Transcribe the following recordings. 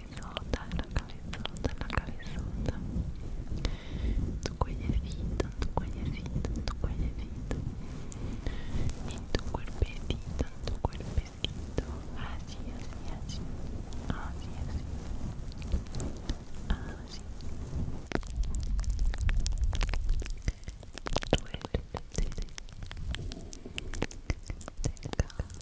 camisota, la camisota, la camisota Tu cuellecito, tu cuellecito, tu cuellecito Y tu cuerpecito, tu cuerpecito Así, así, así Así, así Así Duérmete Te calmas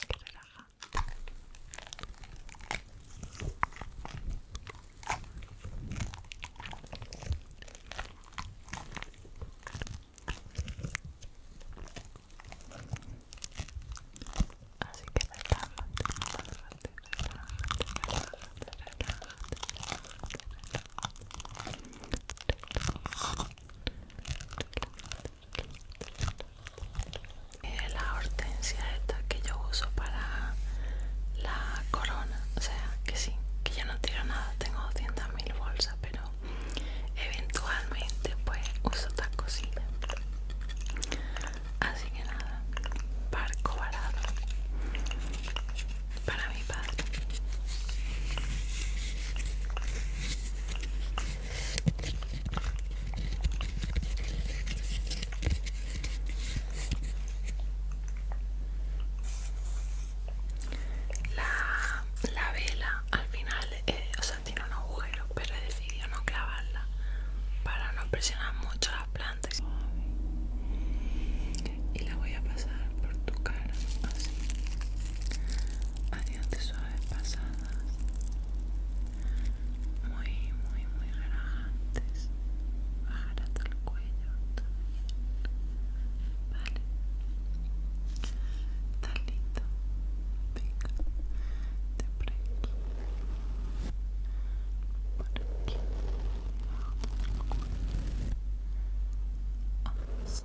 que relaja. Así que la la hortensia esta que yo uso para la corona o sea que sí que ya no tiro nada tengo 200.000 bolsas pero eventualmente pues uso otras cosillas así que nada barco varado para mi padre la, la vela al final, eh, o sea, tiene un agujero, pero he decidido no clavarla para no presionar mucho las plantas. Y la voy a pasar por tu cara, así, Adiante suave pasadas muy muy muy relajantes bajar hasta el cuello vale está listo venga de por aquí por aquí abajo del cuello vamos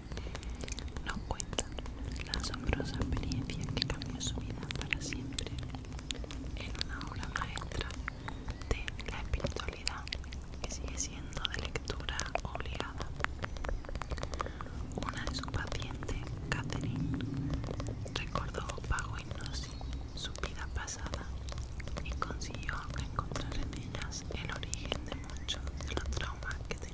Nos cuenta la asombrosa experiencia que cambió su vida para siempre en una obra maestra de la espiritualidad que sigue siendo de lectura obligada. Una de sus pacientes, Catherine, recordó bajo hipnosis su vida pasada y consiguió encontrar en ellas el origen de muchos de los traumas que tenía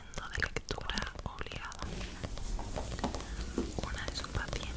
de lectura obligada. Una de sus pacientes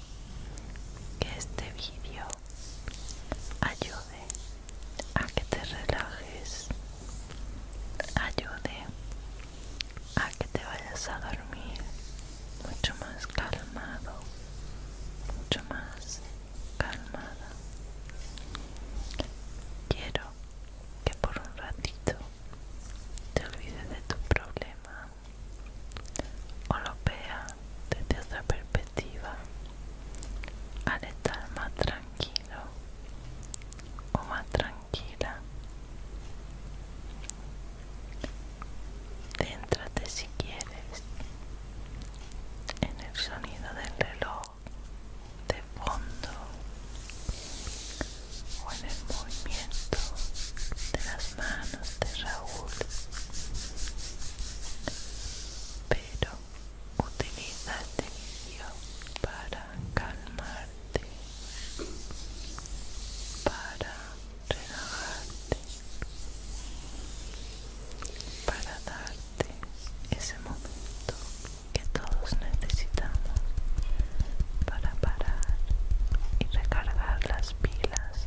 que este vídeo ayude a que te relajes, ayude a que te vayas a dormir mucho más calmado, mucho más calmada. Quiero que por un ratito te olvides de tu problema, o lo vea desde otra perspectiva al estar más tranquilo o más tranquila. Céntrate si quieres en el sonido del reloj de fondo o en el movimiento de las manos de Raúl pero utiliza este para calmarte para relajarte para darte ese momento que todos necesitamos para parar y recargar las pilas.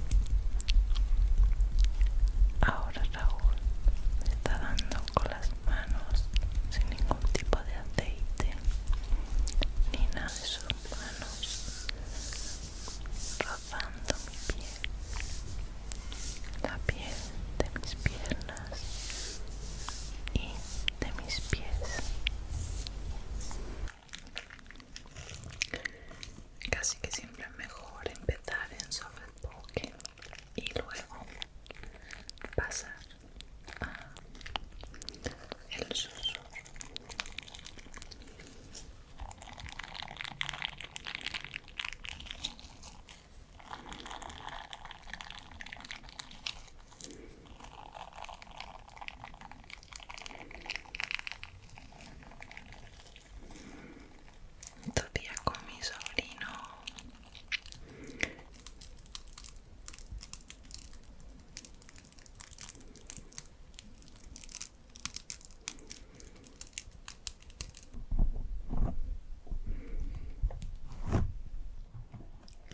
Ahora Raúl me está dando con las manos sin ningún tipo de aceite ni nada de sus manos, rozando mi piel, la piel de mis piernas y de mis pies. Casi que siempre es mejor empezar en soft y luego pasar a el susurro. Todavía con mi sobrino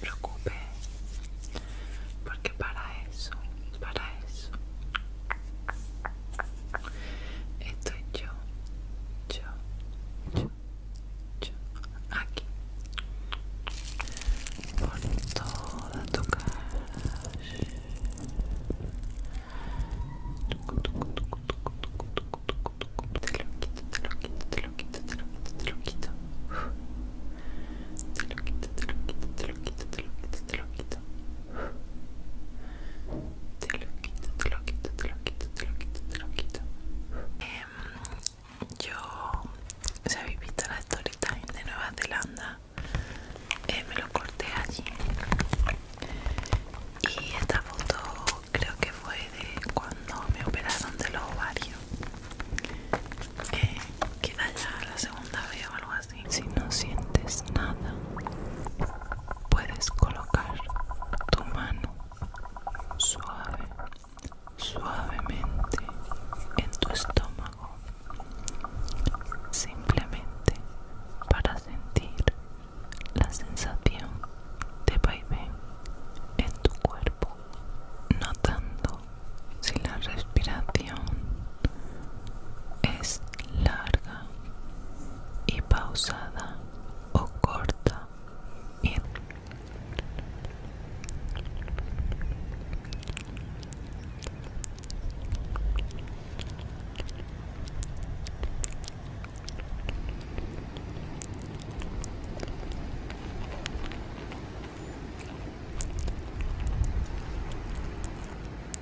preocupe porque para isso para isso Estoy yo, yo, yo, yo, aquí, por toda tu cara. Te lo quito, te lo quito, te lo quito, te lo quito, te lo quito. Te lo quito, te lo quito, te lo quito, te lo quito, te lo quito. Te lo quito, te lo quito, te lo quito, te em, lo quito, te lo quito. yo, si habéis visto la story time de Nueva Zelanda, eh, me lo corté allí. Y esta foto creo que fue de cuando me operaron de los ovarios. Eh, ya la segunda vez o algo así si no sientes nada, puedes colocar tu mano suave, suavemente en tu estómago, simplemente para sentir la sensación de vaivén en tu cuerpo, notando si la respiración es larga y pausada o corta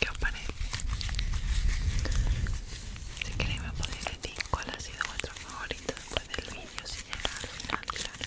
Qué os parece? Si queréis me podéis decir cuál ha sido vuestro favorito después del vídeo si llega al final, claro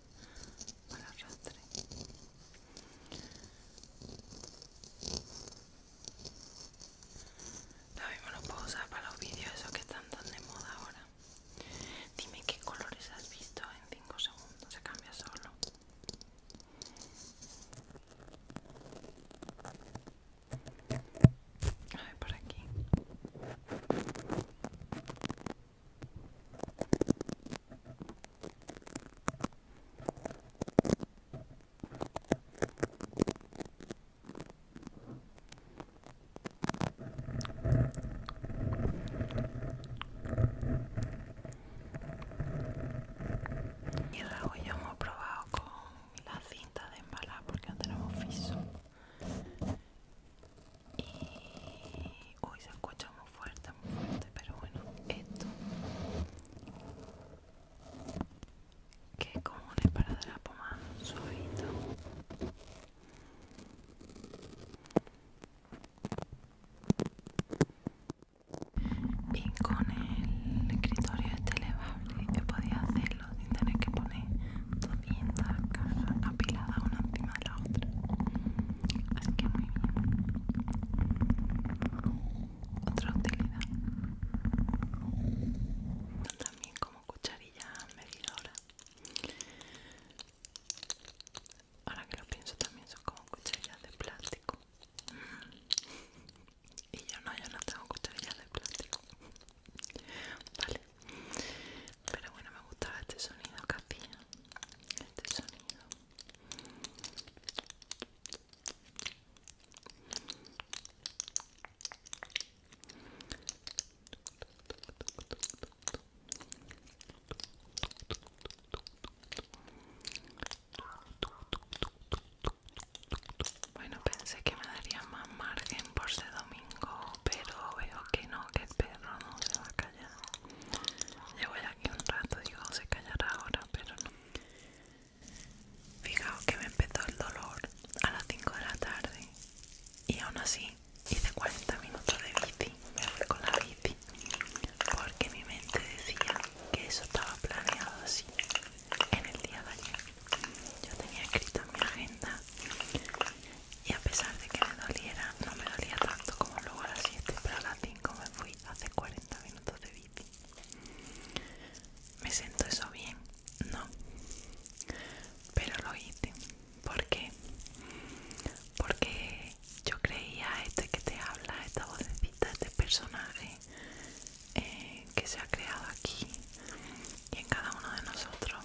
para arrastre lo mismo lo puedo usar para los vídeos esos que están tan de moda ahora dime qué colores has visto en 5 segundos se cambia solo a ver por aquí y luego ya hemos probado con la cinta de embalar porque no tenemos fiso y hoy se escucha muy fuerte muy fuerte pero bueno esto que es como un la más suavito y con el escritorio este elevable yo podía hacerlo sin tener que poner 200 cajas apiladas una encima de la otra que Otra utilidad. También como cucharilla medidora. Ahora que lo pienso también son como cucharillas de plástico. Y yo no, yo no tengo cucharillas de plástico. Vale. Pero bueno, me gustaba este sonido que este sonido bueno, pensé que me daría más margen por ese domingo, pero veo que no, que el perro no se va a callar. Llevo ya aquí un rato, digo, se callará ahora, pero no. Fijaos que me empezó el dolor a las 5 de la tarde y aún así hice 40 minutos de bici, me fui con la bici, porque mi mente decía que eso estaba planeado así en el día de ayer. Yo tenía escrito en mi agenda y a pesar de que me doliera, no me dolía tanto como luego a las 7, pero a las 5 me fui hace 40 minutos de bici. ¿Me siento eso bien? No. Pero lo hice. ¿Por qué? Porque yo creía este que te habla, esta vocecita, este personaje eh, que se ha creado aquí y en cada uno de nosotros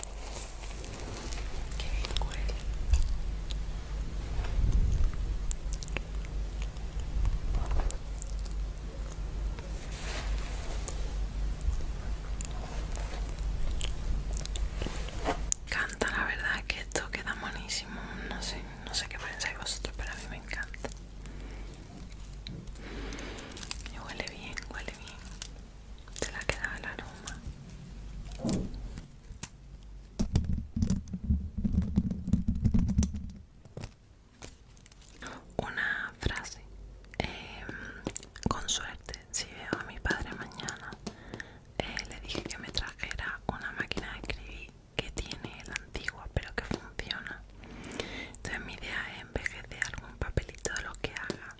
Qué bien Canta, la verdad que esto queda buenísimo. No sé, no sé qué pensáis vosotros, pero a mí me encanta. Me huele bien, huele bien se la ha quedado el aroma una frase em, con suerte si veo a mi padre mañana eh, le dije que me trajera una máquina de escribir que tiene la antigua pero que funciona entonces mi idea es envejecer algún papelito de lo que haga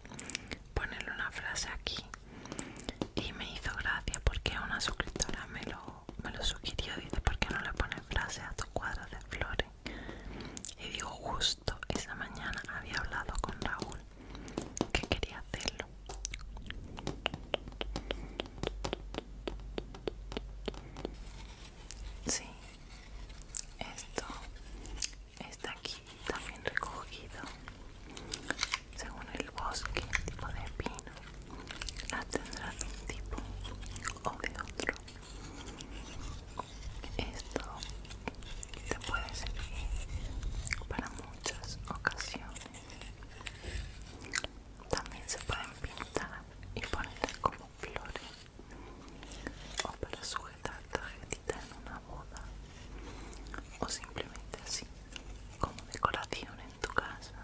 ponerle una frase aquí y me hizo gracia porque una suscriptora me lo, me lo sugirió dice ¿por qué no le pones frase a tu cuadro de flores? y digo justo esa mañana había hablado con Raúl que quería hacerlo sí esto está aquí también recogido según el bosque, tipo de pino, la ah, tendrá de un tipo o de otro. Esto te puede servir para muchas ocasiones. También se pueden pintar y poner como flores o para sujetar tarjetita en una boda o simplemente así como decoración en tu casa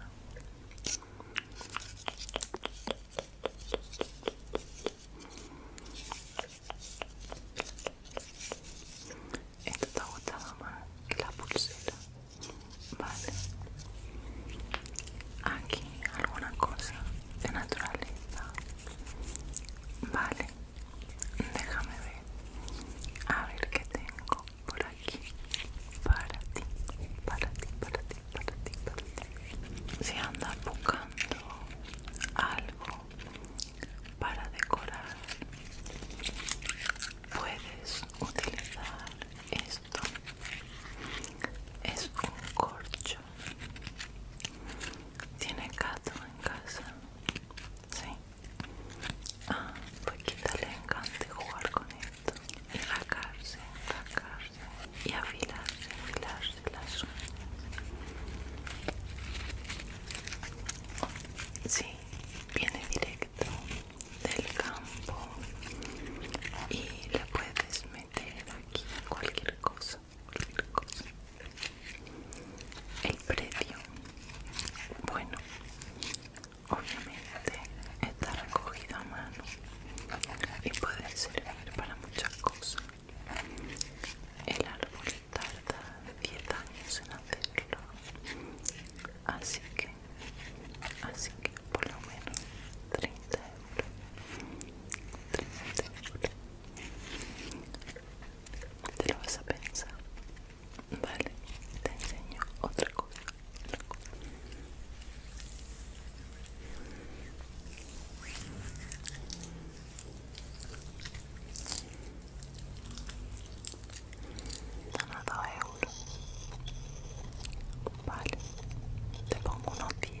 esto te ha gustado más que la pulsera vale aquí alguna cosa de naturaleza. Vale, déjame ver. A ver qué tengo por aquí. Para ti, para ti, para ti, para ti, para ti. Si andas buscando algo para decorar, puedes utilizar esto. Es un corcho ¿Tiene gato en casa? Sí. a ah, pues le encanta jugar con esto. Y rascarse, Y afilarse, afilarse las uñas. Sí, viene directo del campo y le puedes meter aquí cualquier cosa el precio bueno obviamente está recogido a mano y puede servir para muchas cosas el árbol tarda 10 años en hacerlo así que así que por lo menos 30 euros 30 euros te lo vas a pensar. Vale, te enseño otra cosa. Vale, te pongo unos 10.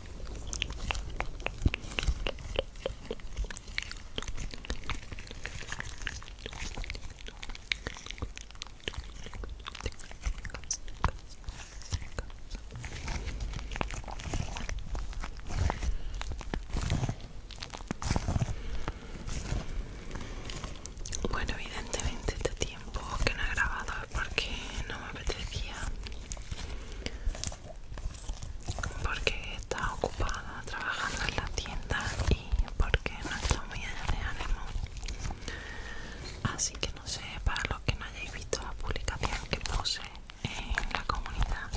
Bueno, evidentemente este tiempo que no he grabado porque no me apetecía porque estaba ocupada trabajando en la tienda y porque no estaba muy de ánimo así que no sé para los que no hayáis visto la publicación que puse en la comunidad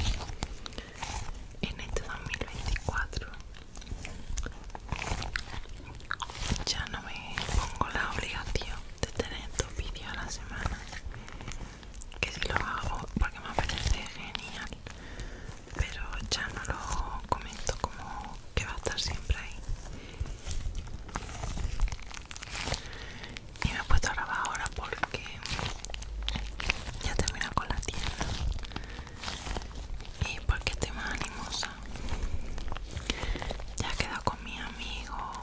en este 2024 ya no me pongo la obligación de tener dos vídeos a la semana que si lo hago porque me parece genial pero ya no lo comento como que va a estar siempre ahí y me he puesto a grabar ahora porque ya termino con la tienda y porque estoy más animosa ya he quedado con mi amigo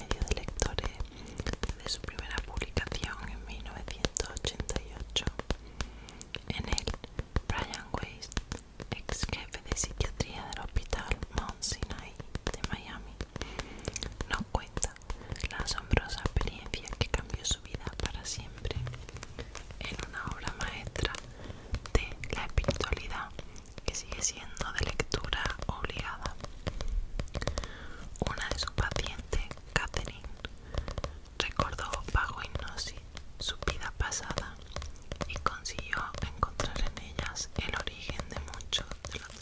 Medio de lectores de su primera publicación en 1988. En el Brian Weiss, ex jefe de psiquiatría del hospital Mount Sinai de Miami, nos cuenta la asombrosa experiencia que cambió su vida para siempre en una obra maestra de la espiritualidad que sigue siendo de lectura obligada. Una de sus pacientes, Catherine, recordó bajo hipnosis su vida pasada y consiguió encontrar en ellas el origen de muchos de los